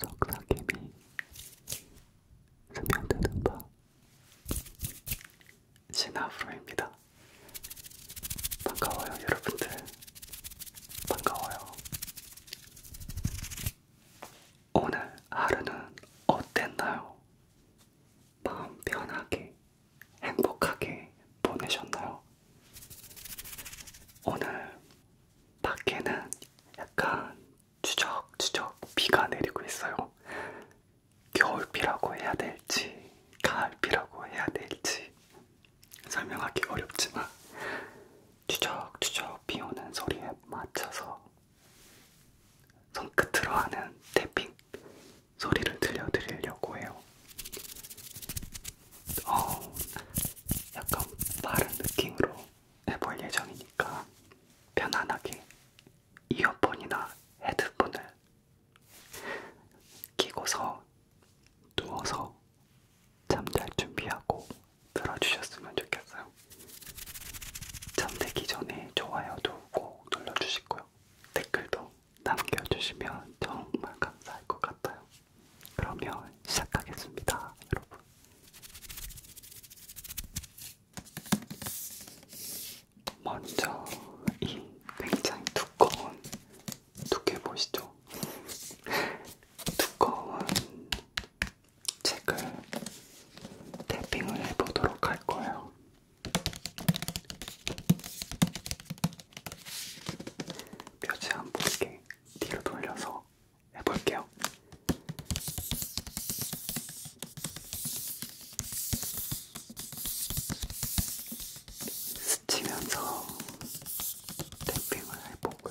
석사김이 스며드는 바 신하프로입니다. 반가워요 여러분들. 반가워요. 오늘 하루는 어땠나요? 마음 편하게 행복하게 보내셨나요? 오늘 밖에는 약간 추적추적 비가 내리고 있어요. 겨울비라고 해야 될지, 가을비라고 해야 될지 설명하기 어렵지만 추적추적 비 오는 소리에 맞춰서 손끝으로 하는 태핑 소리를 들려드리려고 해요. 어, 약간 빠른 느낌으로 해볼 예정이니까 편안하게 이어폰이나 헤드폰을 끼고서 누워서 잠잘 준비하고 들어주셨으면 좋겠어요. 잠들기 전에 좋아요도 꼭 눌러주시고요. 댓글도 남겨주시면 정말 감사할 것 같아요. 그러면 시작하겠습니다, 여러분. 먼저 이 굉장히 두꺼운 두께 보시죠? 두꺼운 책을 태핑을 해보도록 할 거예요. 표지 안 보이게 뒤로 돌려서 해볼게요. 스치면서 탭핑을 해보고요.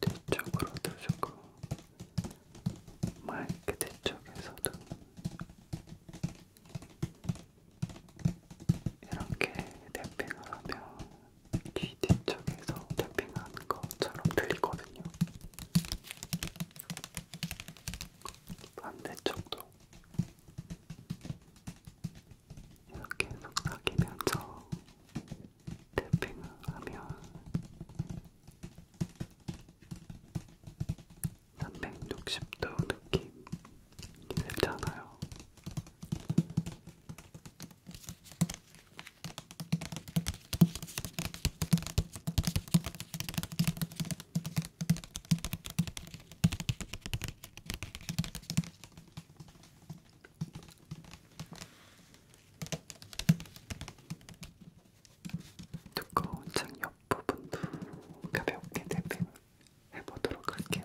뒤쪽으로 두시고 마이크 뒤쪽에서도 이렇게 탭핑을 하면 귀 뒤쪽에서 탭핑하는 것처럼 들리거든요. 반대쪽도 이렇게 해서 사기면서 탭핑을 하면 삼백육십도 느낌이 들잖아요. 두꺼운 창 옆 부분도 가볍게 대핑을 해보도록 할게요.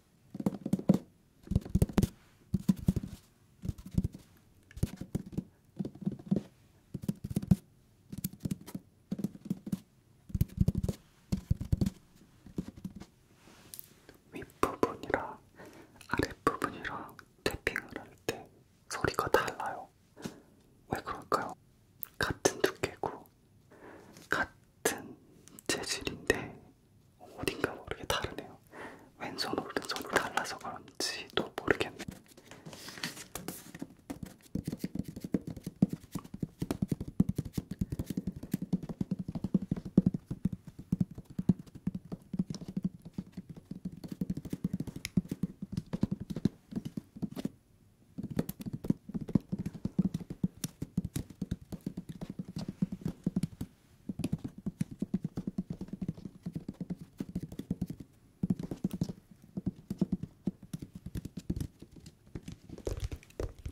윗부분이랑 아랫부분이랑 탭핑을 할 때 소리가 달라요. 왜 그럴까요? 같은 두께고, 같은 같은 재질인데 어딘가 모르게 다르네요. 왼손 오른손이 달라서 그런지도 모르겠네.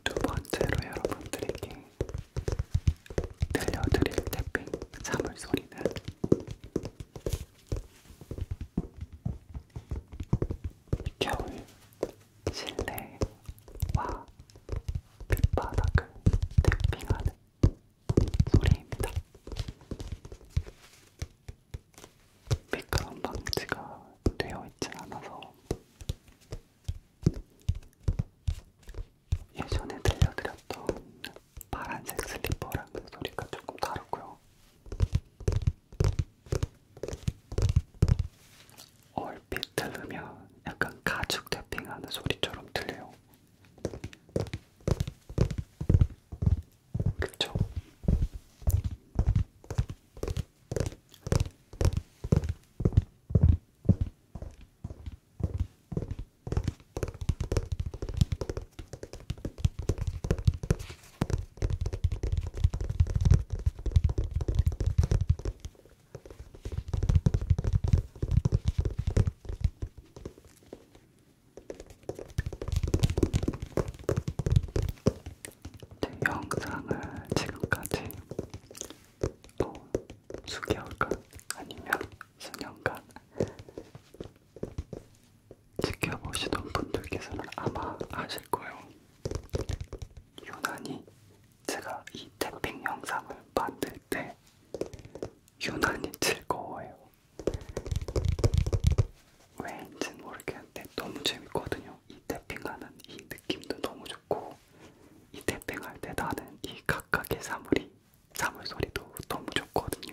두 번째로 여러분들에게 들려드릴 태핑 사물 소리는 겨울 실내와 밑바닥을 탭핑하는 소리입니다. 미끄럼 방지가 되어 있진 않아서 예전에 들려드렸던 파란색 슬리퍼랑 그 소리가 조금 다르고요. 얼핏 들으면 약간 가죽 태핑하는 소리처럼 들려요. 그쵸? 제 영상을 지금까지 어, 수개월간 아니면 수년간 지켜보시던 분들께서는 아마 아실 거예요. 유난히 제가 이 태핑 영상을 만들 때 유난히 즐거워해요. 왜인지는 모르겠는데 너무 재밌거든요. 이 태핑하는 이 느낌도 너무 좋고 이 태핑할 때 나는 이 각각의 사물이 사물 소리도 너무 좋거든요.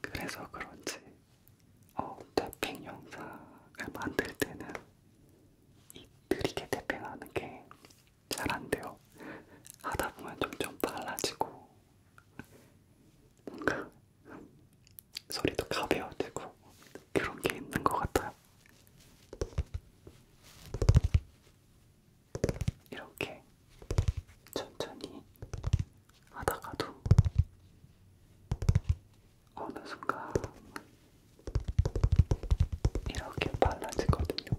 그래서 그런지 어, 태핑 영상을 만들 때는 이 느리게 태핑하는 게 잘 안 돼요. 하다 보면 점점 빨라지고 뭔가 소리도 가벼워지고 그런 게 있는 것 같아요. 이렇게 천천히 하다가도 어느 순간 이렇게 빨라지거든요.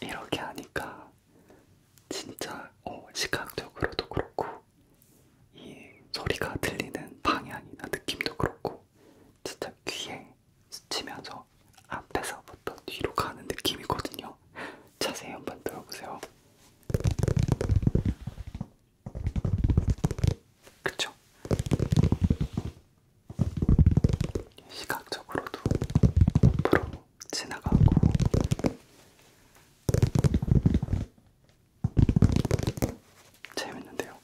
이렇게 하니까 진짜 어, 시각적으로도 그렇고 이 소리가 들리는 방향이나 느낌도 그렇고 진짜 귀에 스치면서 앞에서부터 뒤로 가는 느낌이거든요. 자세히 한번 들어보세요. 그쵸? 시각적으로도 옆으로 지나가고 재밌는데요.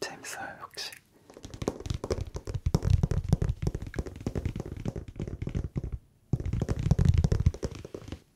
재밌어요, 역시.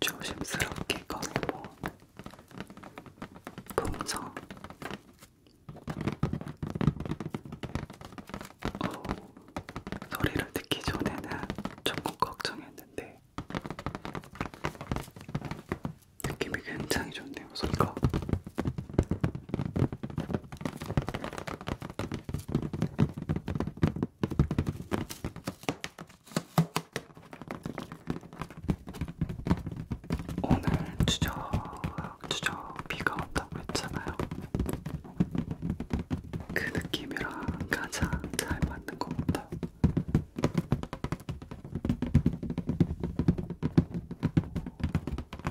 조심스럽게 꺼내본 풍선 어, 소리를 듣기 전에는 조금 걱정했는데 느낌이 굉장히 좋네요 소리가 오늘 추적 추적 비가 온다고 했잖아요. 그 느낌이랑 가장 잘 맞는 것 같아요.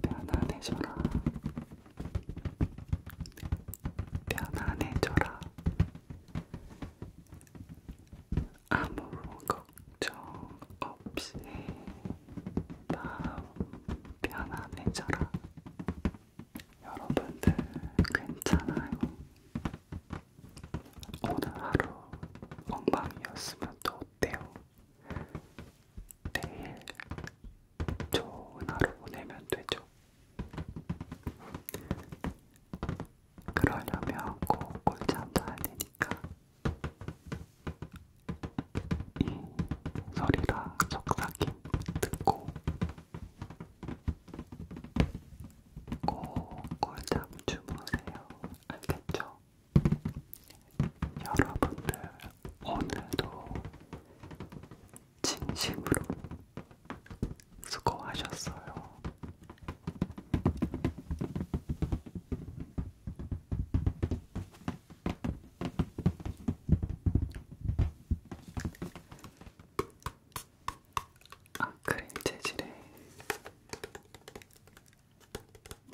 편안해져라. 편안해져라. 아무 걱정 없이 마음 편안해져라. 여러분들 괜찮아요. 오늘 하루 엉망이었으면 또 어때요? 내일 좋은 하루 보내면 되죠. 그러려면 꼭 꿀잠도 아니니까 이 소리랑 속삭임 듣고 꼭 꿀잠 주무세요. 알겠죠? 여러분들 오늘도 진심으로 수고하셨어요. 아크림 재질의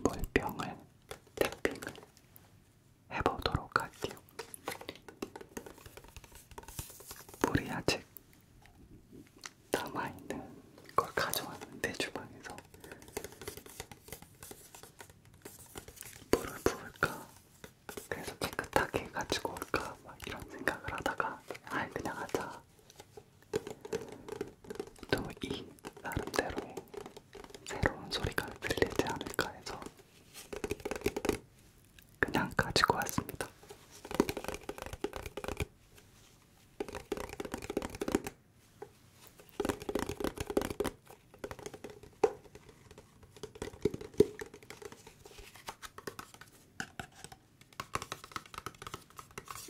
물병을 탭핑을 해보도록 할게요. 물이 아직 남아있는 걸 가져왔는데 주방에서 물을 부을까? 그래서 깨끗하게 가지고 올까? 막 이런 생각을 하다가 아예 그냥 하자 또이 나름대로의 새로운 소리가 들리지 않을까 해서 그냥 가지고 왔습니다.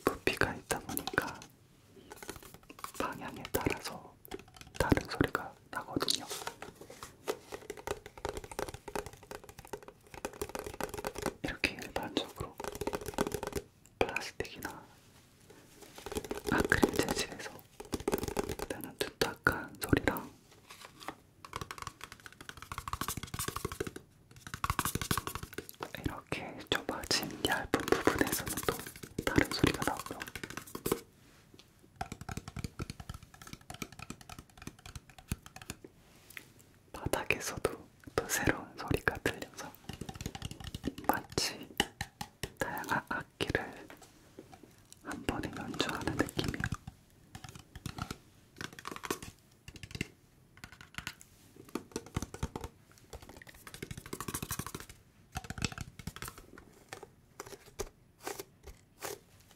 부피가 있다 보니까 방향에 따라서 다른 소리가 나거든요. 이렇게 일반적으로 플라스틱이나 아크릴 재질에서 나는 두탁한 소리랑 이렇게 좁아진 얇은 부분에서는 또 다른 소리가 나오고 바닥에서도 또 새로운 소리가 들려서 마치 다양한 악기를 한 번에 연주하는 느낌이에요.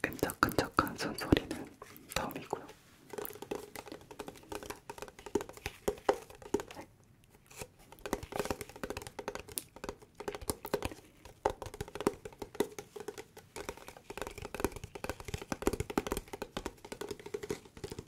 끈적끈적한 손소리는 덤이고요.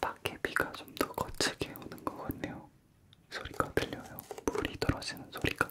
밖에 비가 좀 더 거칠게 오는 것 같네요. 소리가 들려요. 물이 떨어지는 소리가.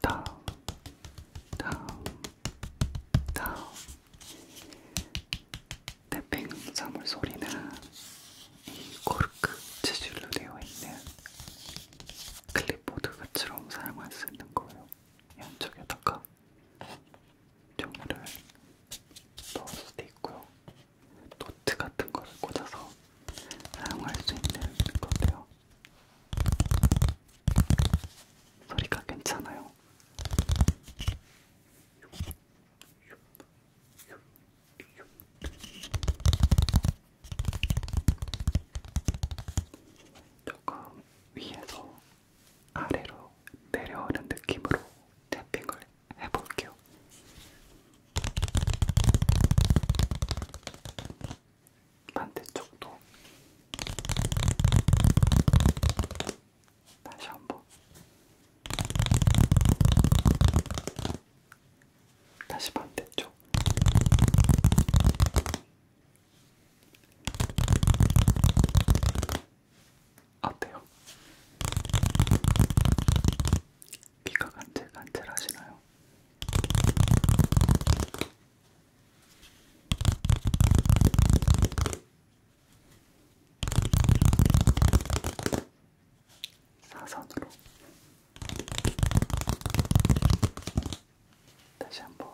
다음, 다음, 다음. 태평사물 소리는 이 코르크 재질로 되어 있는 클립보드 같처럼 사용할 수 있는 거예요. 양쪽에다가 종이를 넣을 수도 있고요. 노트 같은 거를 꽂아서 사용할 수 있는 건데요. 소리가 괜찮아요. 조금 위에서 아래로 내려오는 느낌으로 탭핑을 해볼게요. 반대쪽도 다시 한번 다시 반대쪽 어때요? 귀가 간질간질 하시나요? 사선으로 다시 한번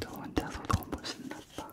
저 혼자서 너무 신났다.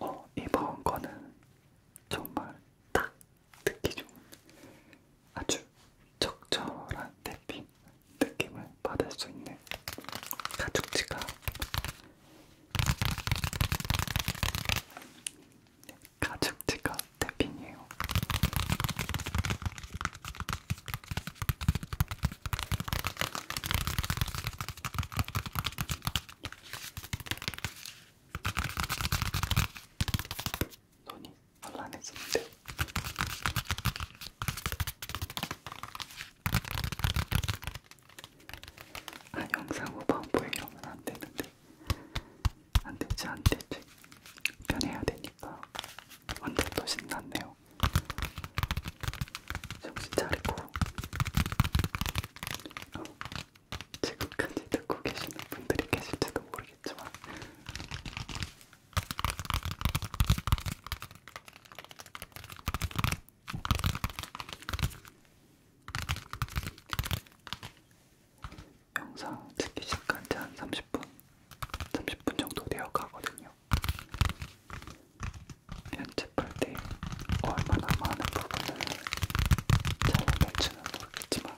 어, 이번 거는 정말 딱 듣기 좋은 아주 적절한 탭핑 느낌을 받을 수 있는 가죽지갑 가죽지가 태핑이에요. 손이 혼란해지는데요. 아 영상 5번 보이려면 안 되는데 안 되지 안 되지 변해야 되니까 완전 또 신났네요. 정신 차리고 어, 지금까지 듣고 계시는 분들이 계실지도 모르겠지만. 영상 찍기 시작한 지한 30분, 30분 정도 되어 가거든요. 편집할 때 얼마나 많은 부분을 잘라낼지는 모르겠지만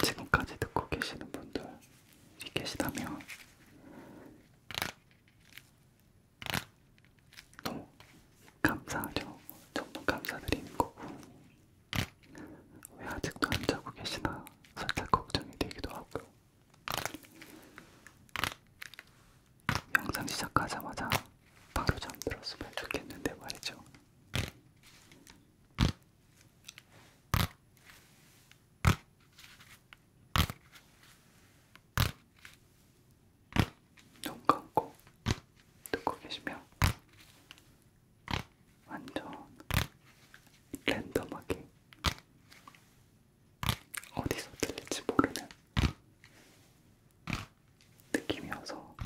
지금까지 듣고 계시는 분들이 계시다면 너무 감사하죠. 정말 감사드리는 거고 왜 아직도 안 자고 계시나 살짝 걱정이 되기도 하고요. 영상 시작하자마자 바로 잠들었으면 좋겠는데 말이죠. 눈 감고 듣고 계시면 완전 랜덤하게 어디서 들릴지 모르는 느낌이어서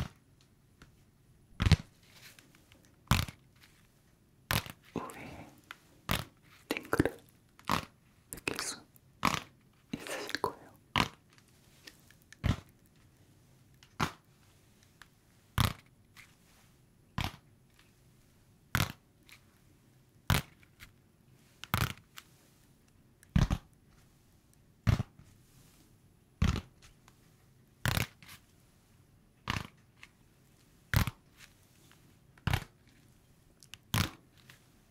우리의 링크를 느낄 수 있으실 거예요.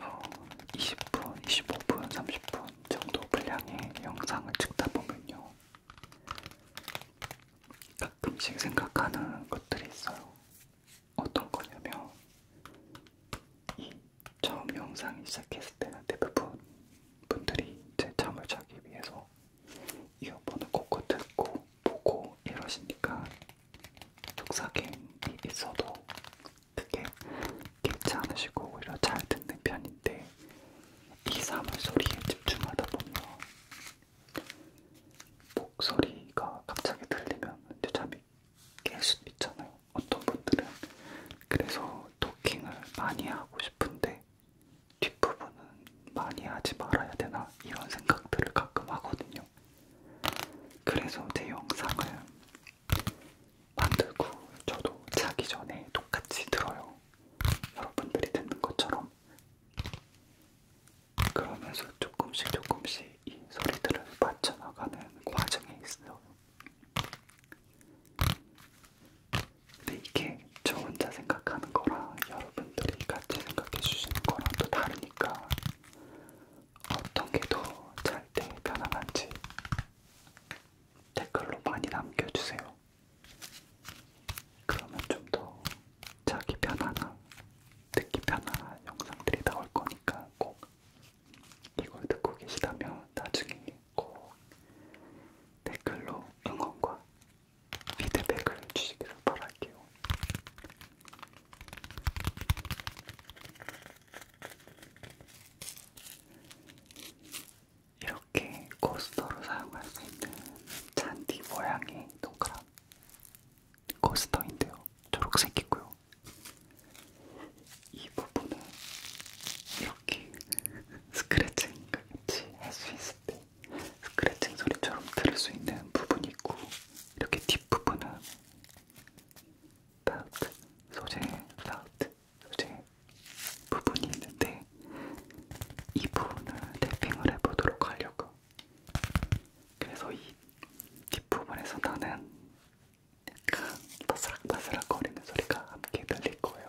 어, 20분, 25분, 30분 정도 분량의 영상을 찍다 보면요. 가끔씩 생각하는 것들이 있어요. 어떤 거냐면, 이 처음 영상이 시작했을 때는 대부분 분들이 제 잠을 자기 위해서 이어폰을 꽂고 듣고 보고 이러시니까 속삭임이 있어도 그게 깊지 않으시고 오히려 잘 듣는 편인데 이 사물소리에 집중하다 보면 목소리가 갑자기 들리면 이제 잠이 깰 수도 있잖아요. 어떤 분들은 그래서 토킹을 많이 하고 싶은데 뒷부분은 많이 하지 말아야 되나 이런 생각들을 가끔 하거든요. 그래서 제 영상을 만들고 저도 자기 전에 똑같이 들어요. 여러분들이 듣는 것처럼. 그러면서 조금씩 조금씩 이 소리들을 맞춰나가는 과정에 있어요. 근데 이게 저 혼자 생각하는 거랑 여러분들이 같이 생각해 주시는 거랑 또 다르니까 어떤 게 더 잘 때 편안한지 댓글로 많이 남겨주세요. 그러면 좀 더 자기 편안한, 듣기 편안한 영상들이 나올 거니까 꼭 이걸 듣고 계시다면 나중에 꼭 댓글로 응원과 피드백을 주시기를 바랄게요. 이렇게 코스터로 사용할 수 있는 잔디 모양의 동그란 코스터인데요. 초록색이고요. 이 부분은 이렇게 스크래칭 같이 할수 있을 때 스크래칭 소리처럼 들을 수 있는 부분이 있고 이렇게 뒷부분은 파우트 소재, 파우트 소재 부분이 있는데 이 부분을 탭핑을 해보도록 하려고. 그래서 이 뒷부분에서 나는 약간 바스락바스락 거리는 소리가 함께 들릴 거예요.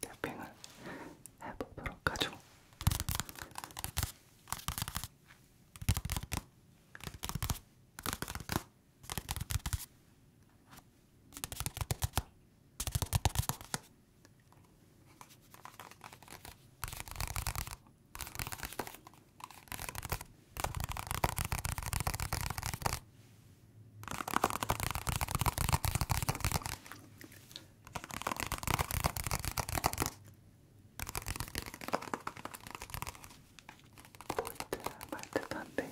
탭핑을 해보도록 하죠. 보이듯 한데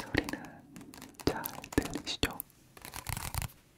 소리는 잘 들리시죠?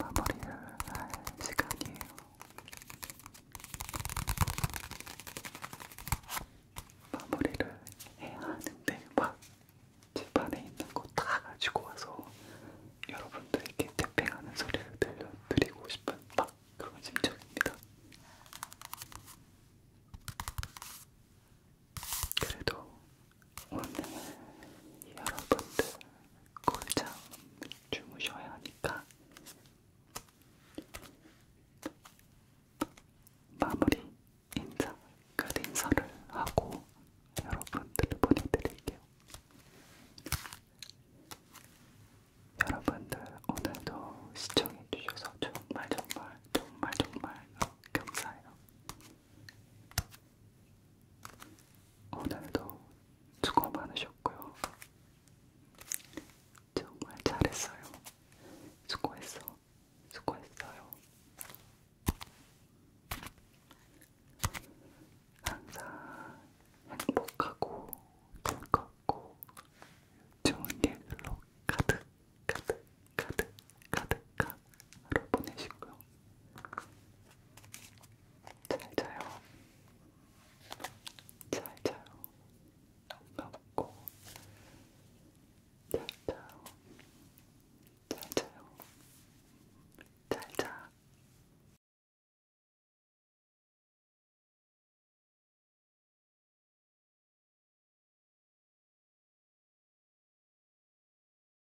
마무리를 할 시간이에요. 마무리를 해야 하는데 막 집안에 있는 거 다 가지고 와서 여러분들에게 태핑하는 소리를 들려드리고 싶은 막 그런 심정입니다. 그래도 오늘은 여러분들 골잠 주무셔야 하니까 마무리 인사, 끝인사를 하고 여러분들을 보내드릴게요. 여러분들 오늘도 시청해주셔서 정말 정말 정말 정말 감사해요. 오늘도 수고 많으셨고요. 정말 잘했어요. 수고했어. 수고했어요. 항상 행복하고 즐겁고 좋은 일로 가득 가득 가득 가득한 하루 보내시고요. 잘 자요. 잘 자요. 반갑고 잘 자요. 잘 자요. 잘 자.